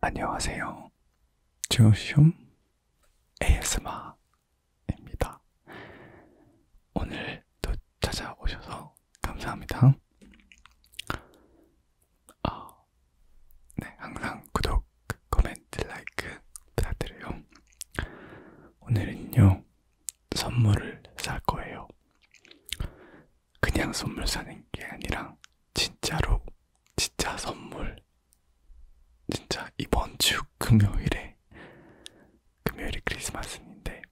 안녕하세요. 조슘 ASMR입니다. 오늘 또 찾아오셔서 감사합니다. 어, 네, 항상 구독, 코멘트, 라이크 부탁드려요. 오늘은요, 선물을 살 거예요. 그냥 선물 사는 게 아니라 진짜로 진짜 선물 진짜 이번 주 금요일에 금요일이 크리스마스인데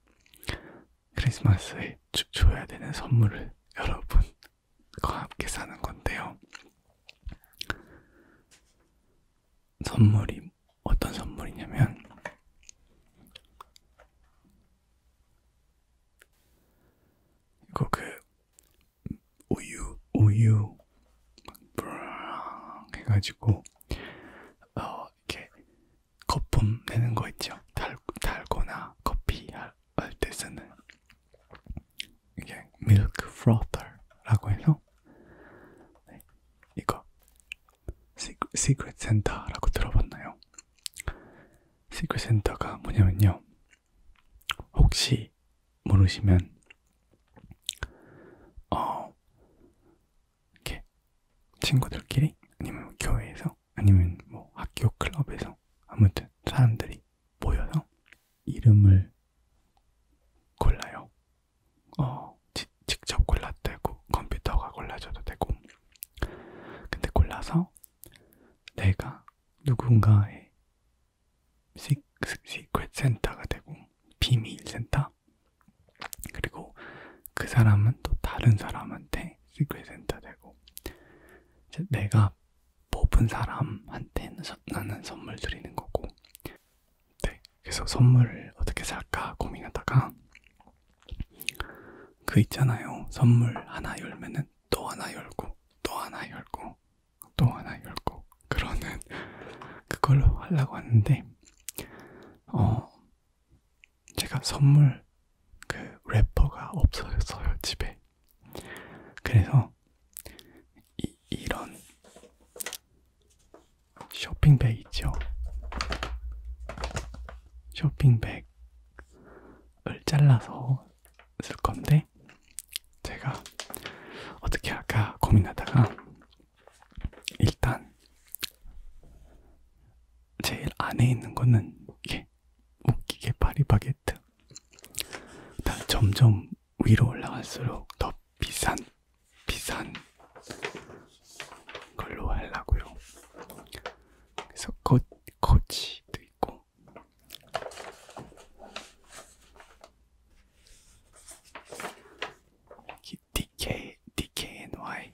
크리스마스에 주, 줘야 되는 선물을 여러분과 함께 사는 건데요. 선물이 어떤 선물이냐면 이거 그 우유 우유 브랑 해가지고 어 이렇게 거품 내는 거 있죠 달 달거나 커피 할때 쓰는 이게 밀크 프로터라고 해서 네, 이거 시크, 시크릿 센터라고 들어봤나요? 시크릿 센터가 뭐냐면요 혹시 모르시면 어 이렇게 친구들끼리 아니면 뭐 교회에서 아니면 뭐 학교 클럽에서 아무튼 사람들이 모여서 이름을 골라요. 어 지, 직접 골라도 되고 컴퓨터가 골라줘도 되고 근데 골라서 내가 누군가의 시, 시크릿 센터가 되고 비밀 센터 그리고 그 사람은 또 다른 사람한테 시크릿 센터 되고 이제 내가 뽑은 사람한테는 서, 나는 선물 드리는 거고 네, 그래서 선물을 어떻게 살까 고민하다가 그 있잖아요 선물 하나 열면은 하면은 또 하나 열고 또 하나 열고 또 하나 열고 그러는 그걸로 하려고 하는데 어 제가 선물 그 래퍼가 없어졌어요 집에 그래서 이, 이런 쇼핑백 있죠 쇼핑백을 잘라서 쓸 건데 제가 어떻게 할까 고민하다가 일단 제일 안에 있는 거는 이게 웃기게 파리바게트 다 점점 위로 올라갈수록 더 비싼 비싼 걸로 하려고요. 그래서 거, 거치도 있고 DK, DKNY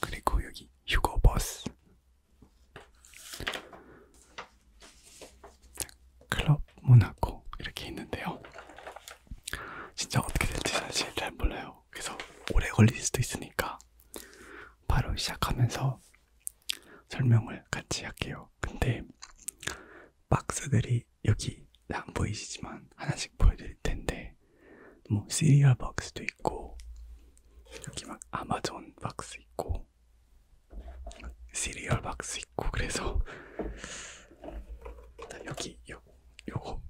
그리고 여기 휴거버스 클럽 모나코 이렇게 있는데요. 진짜 어떻게 될지 사실 잘 몰라요. 거예요. 그래서 오래 걸릴 수도 있으니까 바로 시작하면서 설명을 같이 할게요. 근데 박스들이 여기 안 보이시지만 하나씩 보여드릴 텐데 뭐 시리얼 박스도 있고 여기 막 아마존 박스 있고 시리얼 박스 있고 그래서 여기 요 요거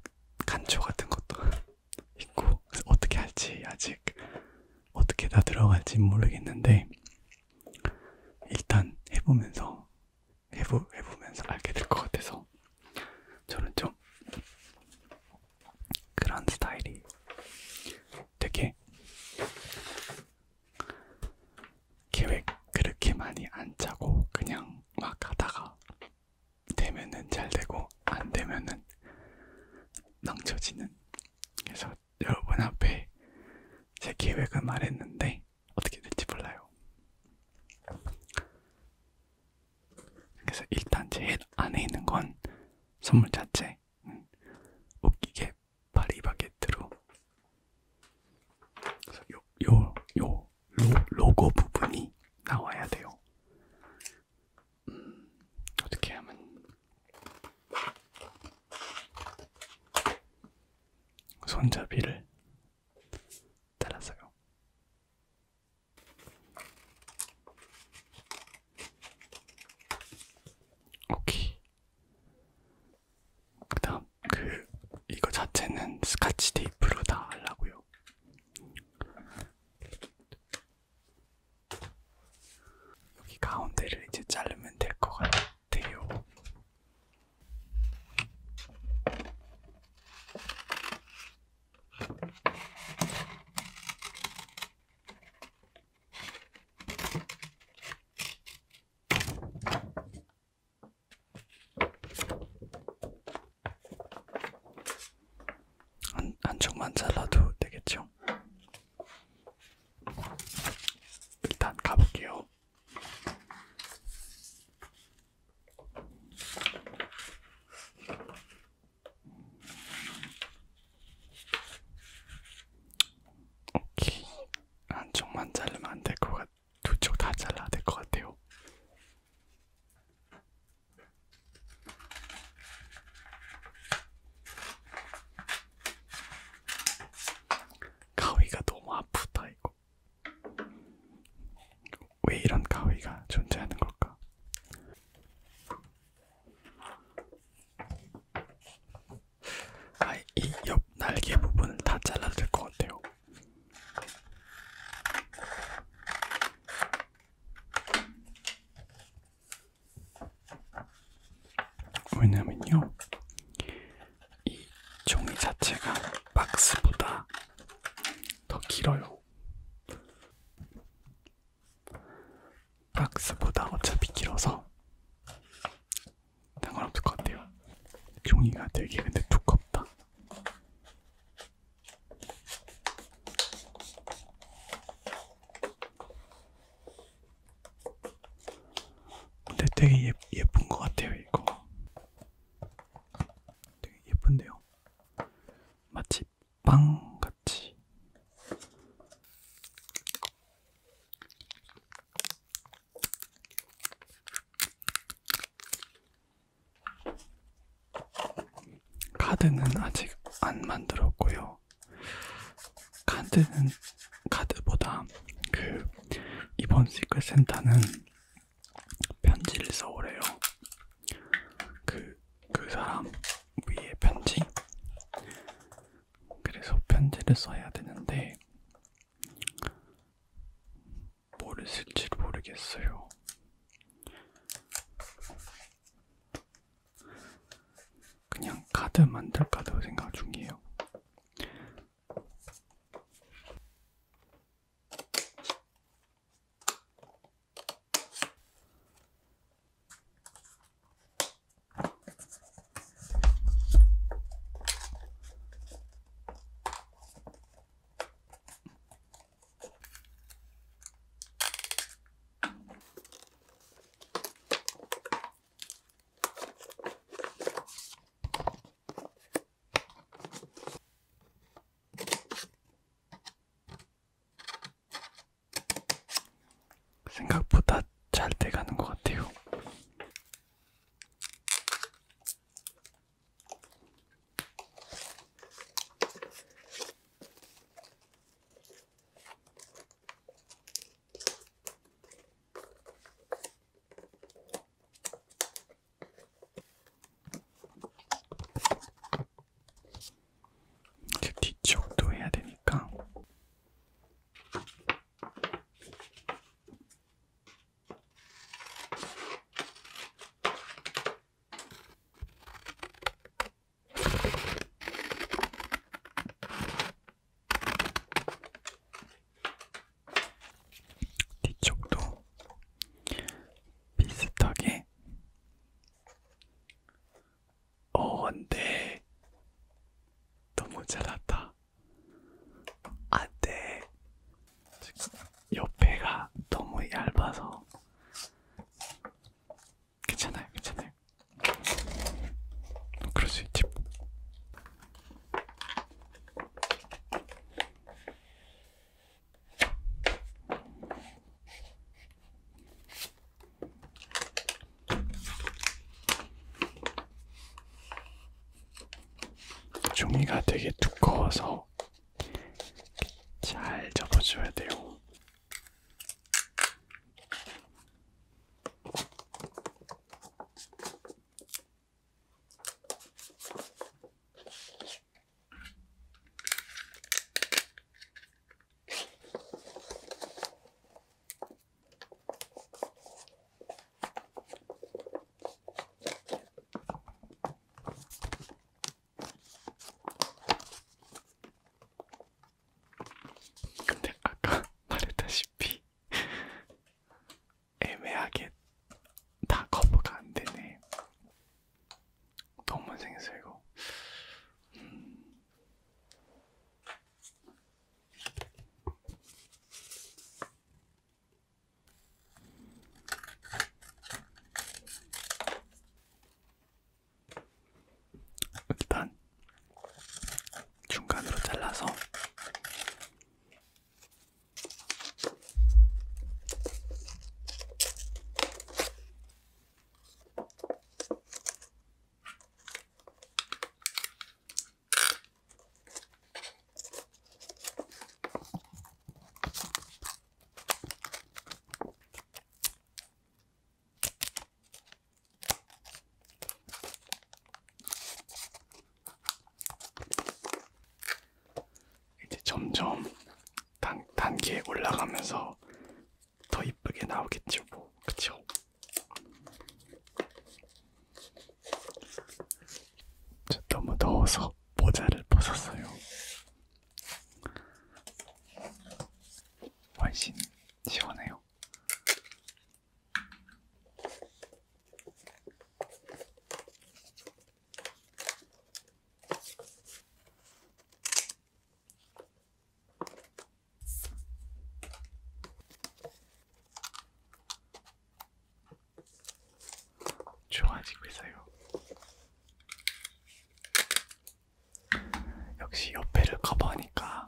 간초 같은 것도 있고 어떻게 할지 아직 어떻게 다 들어갈지 모르겠는데 일단 해보면서 해보, 해보면서 알게 될 것 같아서 저는 좀 그런 스타일이 되게 계획 그렇게 많이 안 짜고 그냥 막 하다가 되면은 잘 되고 안 되면은 낭처지는 그래서 여러분 앞에 제 계획을 말했는데 어떻게 될지 몰라요. 그래서 일단 제일 안에 있는 건 선물 자체 음, 웃기게 파리바게트로 그래서 요, 요, 요 로, 로고 부분이 나와야 돼요. 음, 어떻게 하면 손잡이를 따라서요. 오케이. 그다음 그 이거 자체는 스카치 테이프로 다 하려고요. 여기 가운데를 이제 자르면 될 것 같아요. 한, 한쪽만 잘라도 되겠죠? 일단 가볼게요. 오케이. 한쪽만 자르면 안 될 것 같아. 두쪽 다 잘라야 될 것 같아요. 가위가 너무 아프다 이거. 왜 이런 가위가 존재하는 걸까? 아이 옆 날개 부분은 다 잘라야 될 것 같아요. 왜냐면요, 이 종이 자체가 박스보다 더 길어요. 박스보다 어차피 길어서 상관없을 것 같아요. 종이가 되게 근데 두껍다. 근데 되게 예, 예쁜 것 같아요 이거 되게 예쁜데요 마치 빵같이 카드는 아직 안 만들었고요. 카드는 카드보다 그 이번 시크 센터는 편지를 써오래요. 그그 그 사람 위에 편지. 그래서 편지를 써야 되는데 뭐를 쓸지 모르겠어요. 그냥 카드 만들까도 생각 중이에요. 생각보다 잘 돼가는 것 같아요. 이제 뒤쪽도 해야 되니까. 뒤쪽도 비슷하게 어 근데 너무 잘났다 안돼 옆에가 너무 얇아서 괜찮아요 괜찮아요 그럴 수 있지 종이가 되게 두꺼워서 잘 접어줘야 돼요. 근데 아까 말했다시피 애매하게 다 커버가 안 되네. 너무 생겼어 이거. 음. 일단 중간으로 잘라서 이제 점점 단, 단계에 올라가면서 더 이쁘게 나오겠죠, 뭐. 그쵸? 저 너무 뭐 더워서 모자를 벗었어요. 훨씬 시원해요. 좋아지고 있어요. 역시 옆에를 커버하니까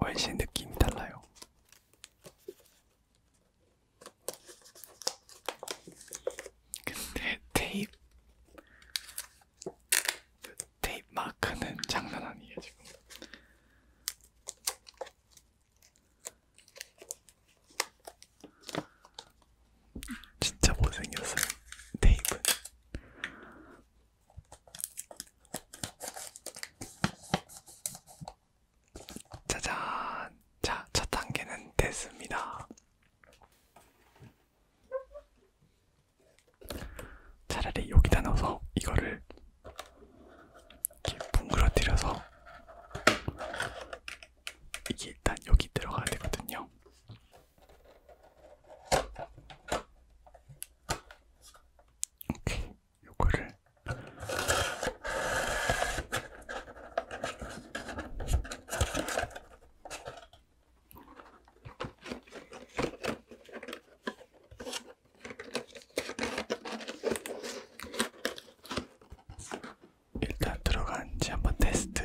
훨씬 느낌이 달라요. 근데 테이프 테이프 마크는 장난 아니에요 지금. 진짜 못생겼어요 테이프. 짜잔! 자, 첫 단계는 됐습니다. 차라리 여기다 넣어서 이거를 이렇게 뭉그러뜨려서 이게 일단 여기 들어가야 되거든요. 이렇게 요거를 일단 들어간지 한번 테스트.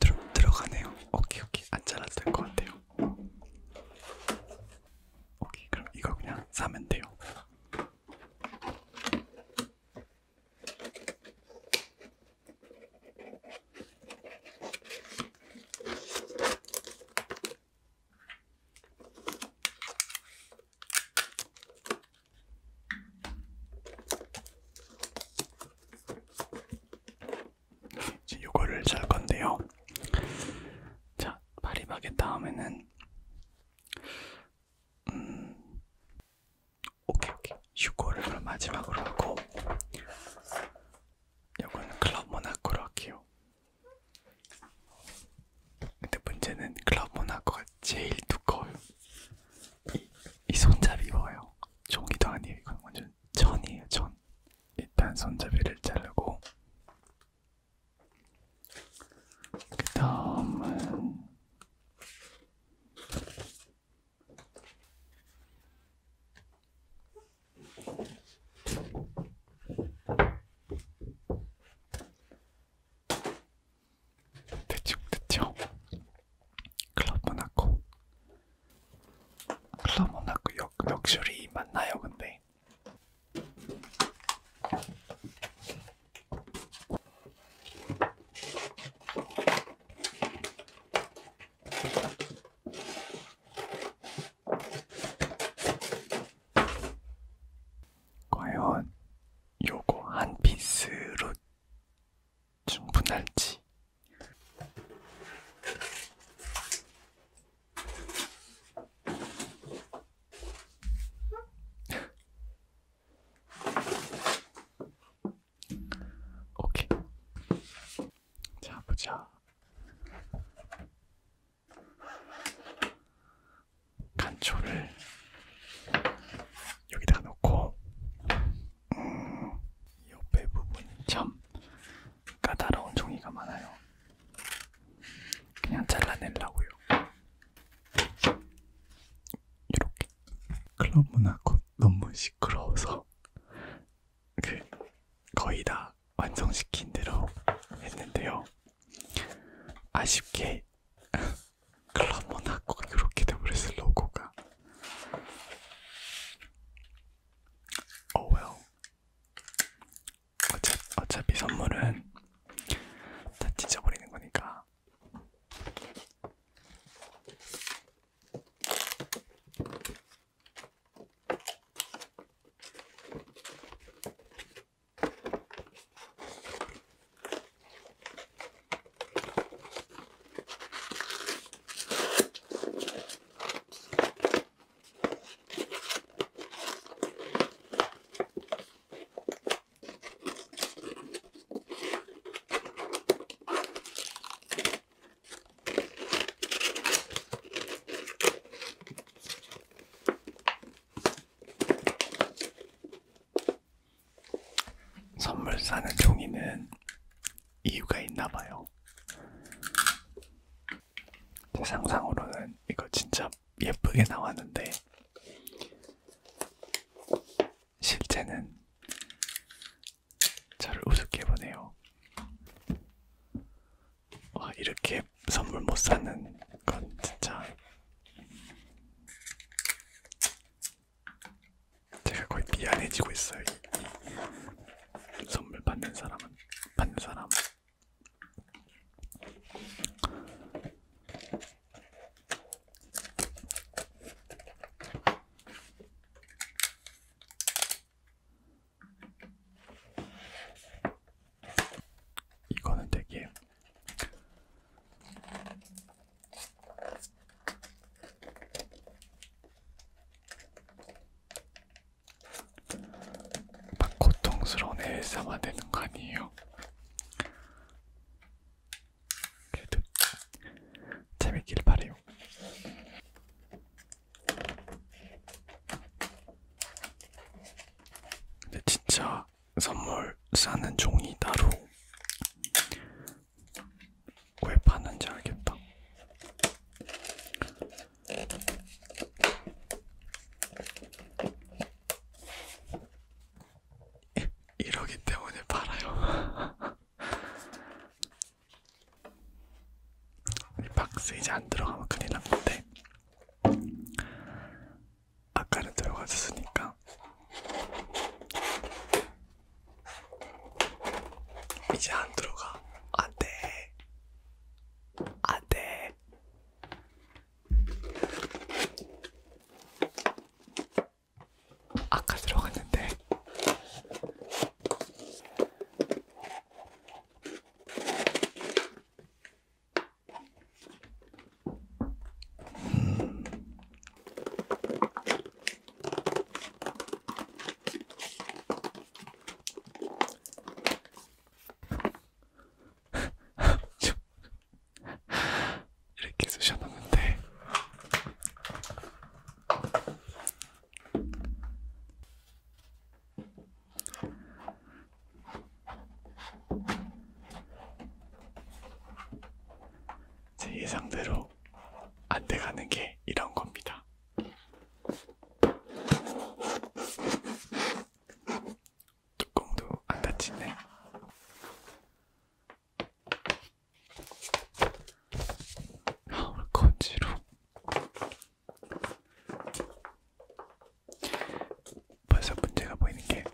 들어, 들어가네요. 오케이 오케이 안 잘랐을 것 같아요. 오케이 그럼 이거 그냥 사면 돼요. 이제 요거를 살 건데요. 자, 파리바게 다음에는 음, 오케이 오케이. 슈거를 그럼 마지막으로 하고 요거는 클럽 모나코로 할게요. 근데 문제는 클럽 모나코가 제일 두꺼워요. 이, 이 손잡이 봐요. 종이도 아니에요. 이건 완전 천이에요. 천. 일단 손잡이를 자르고 그 다음은 대충 대충 클럽만 하고 플러모나크 역, 역술이 맞나요 근데? 과연 요거 한 피스로 충분할지 오케이. 자, 보자. 간초를 여기다 놓고 음, 옆에 부분이 참 까다로운 종이가 많아요. 그냥 잘라내려고요. 이렇게 클럽 문화꽃 너무 시끄러워서 그 거의 다 완성시킨 대로 했는데요. 아쉽게 클럽 문화꽃 이렇게 돼버렸어요. 로고가 Oh well. 어차, 어차피 선물은 다 찢어버리는 거니까. 선물 사는 종이는 이유가 있나 봐요. 제 상상으로는 이거 진짜 예쁘게 나왔는데 실제는 저를 우습게 보네요. 와 이렇게 선물 못 사는 건 진짜 제가 거의 미안해지고 있어요. 이, 이 선물 받는 사람은 받는 사람. 이거는 되게 막 고통스러운 엘사만 되는 거 아니에요? 그래도 재밌길 바래요. 근데 진짜 선물 싸는 종이 따로 왜 파는지 알겠다. 이러기 때문에 팔아요. 이 박스 이제 안 들어가면 큰일 난 건데. 아까는 들어가졌으니까 이제 안 들어가. 안 돼. 안 돼. 아까 들어갔는데. 음, 이렇게 쑤셔놨는데 제 예상대로 안 돼가는 게 이런 겁니다. 뚜껑도 안 닫히네. 아, 거지로. 벌써 문제가 보이는 게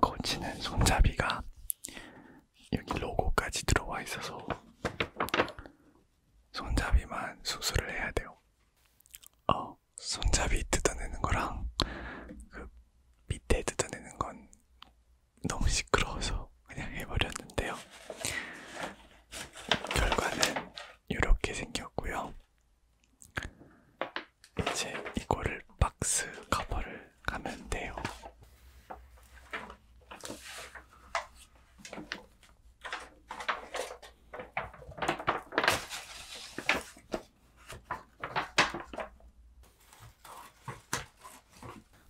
거치는 손잡이가 여기 로고까지 들어와 있어서 손잡이만 수술을 해야 돼요. 어, 손잡이 뜯어내는 거랑 그 밑에 뜯어내는 건 너무 시끄러워서 그냥 해버렸는데요. 결과는 이렇게 생겼고요. 이제 이거를 박스 커버를 하면 돼요.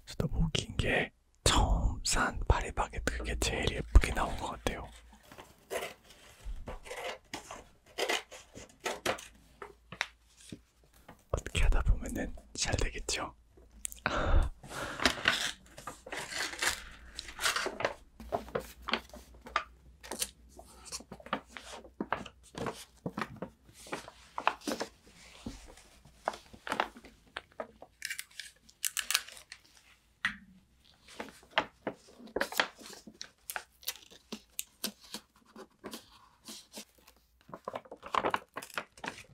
진짜 뭐긴게 처음 산 파리바게트 그게 제일 예쁘게 나온 것 같아요. 어떻게 하다 보면은 잘 되겠죠.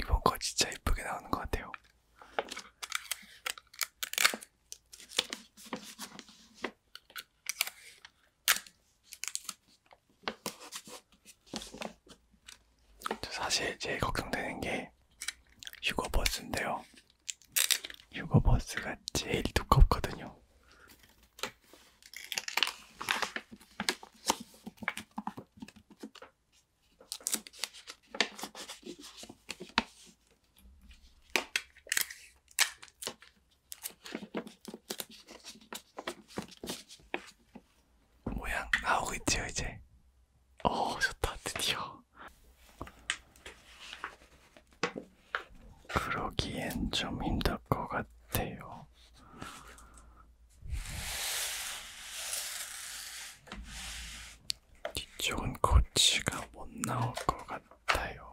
이번 거 진짜 예쁘게 나오는 것 같아요. 저 사실 제일 걱정되는 게 휴거버스인데요. 휴거버스가 제일 두껍거든요. 모양 나오고 있지요 이제. 어 좋다 드디어. 그러기엔 좀 힘들 것 같아요. 뒤쪽은 코치가 못 나올 것 같아요.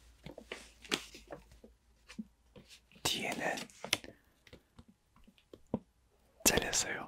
뒤에는 잘렸어요.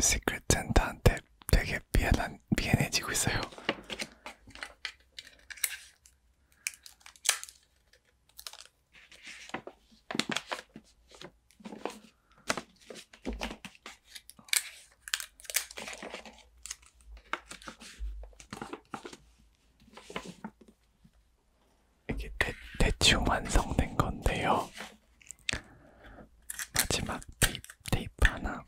시크릿 센터한테 되게 미안한, 미안해지고 있어요. 이게 대, 대충 완성된 건데요. 마지막 테이프, 테이프 하나.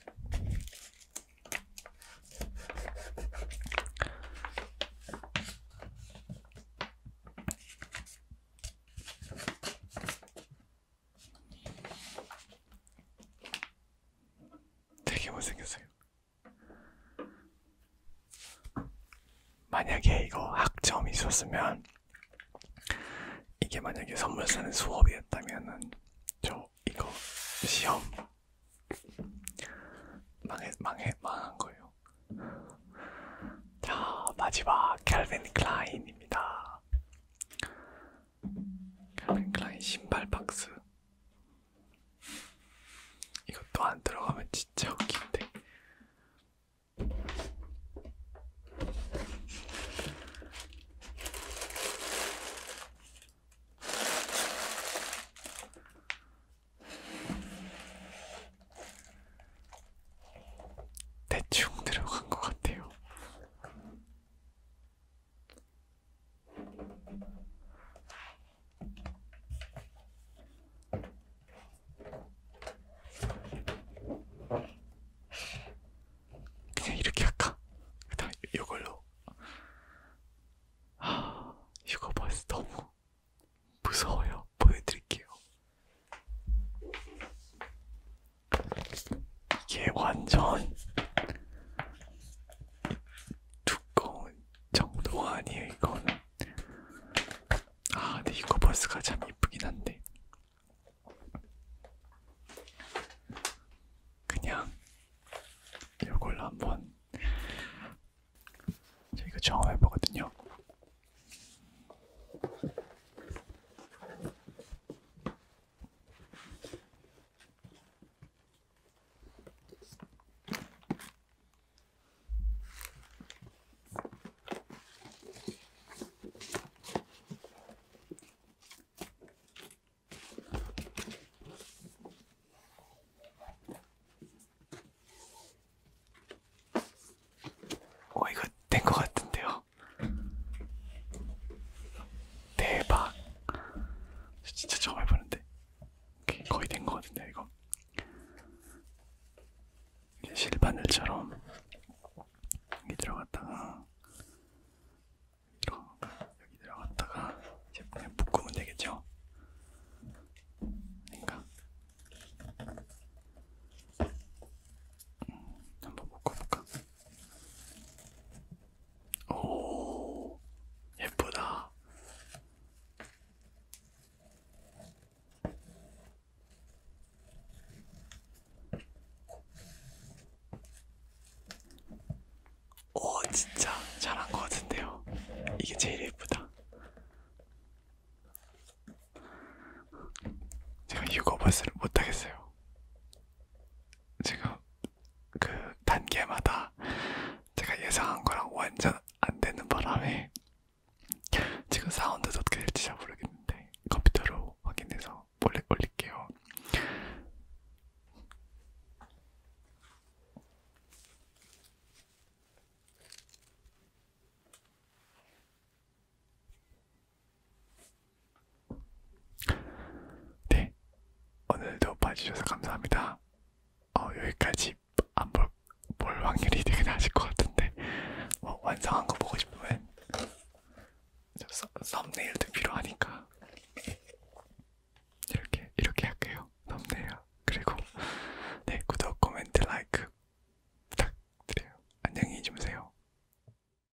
되게 못생겼어요. 만약에 이거 학점이 있었으면 이게 만약에 선물 쓰는 수업이었다면은 저 이거 시험 망해 망해 망한 거예요. 자 마지막 캘빈 클라인입니다. calvin 신발 박스 이것도 안 들어가면 진짜 웃긴데 대충 들어간 것 같아요. 그냥 이렇게 할까? 그다음 이걸로 아 이거 벌써 너무 무서워요. 보여드릴게요. 이게 완전 두꺼운 정도가 아니에요 이거는 아 근데 이거 버스가 참 이쁘긴 한데 그냥 이걸로 한번 이거 경험해 보거든요. 어 이거 된것 같은데요. 대박. 진짜 처음 해보는데 거의 된 거 같은데 이거. 실바늘처럼 여기 들어갔다가 여기 들어갔다가 이제 그냥 묶으면 되겠죠? 그러니까 음, 한번 묶어볼까? 오, 예쁘다. 오, 진짜 잘한 것 같은데요. 이게 제일 예쁘다. 제가 유거버스를 못하겠어요. 지금 그 단계마다 제가 예상한 거랑 완전 안 되는 바람에 지금 사운드도 어떻게 될지 잘 모르겠는데 컴퓨터로 확인해서 몰래 올릴게요. 네, 오늘도 봐주셔서 감사합니다. 어, 여기까지 안볼 볼 확률이 되게 낮을 것 같은데 뭐 완성한 거 보고 싶으면 서, 썸네일도 필요하니까 이렇게 이렇게 할게요. 썸네일 그리고 네 구독, 코멘트, 라이크 부탁드려요. 안녕히 주무세요.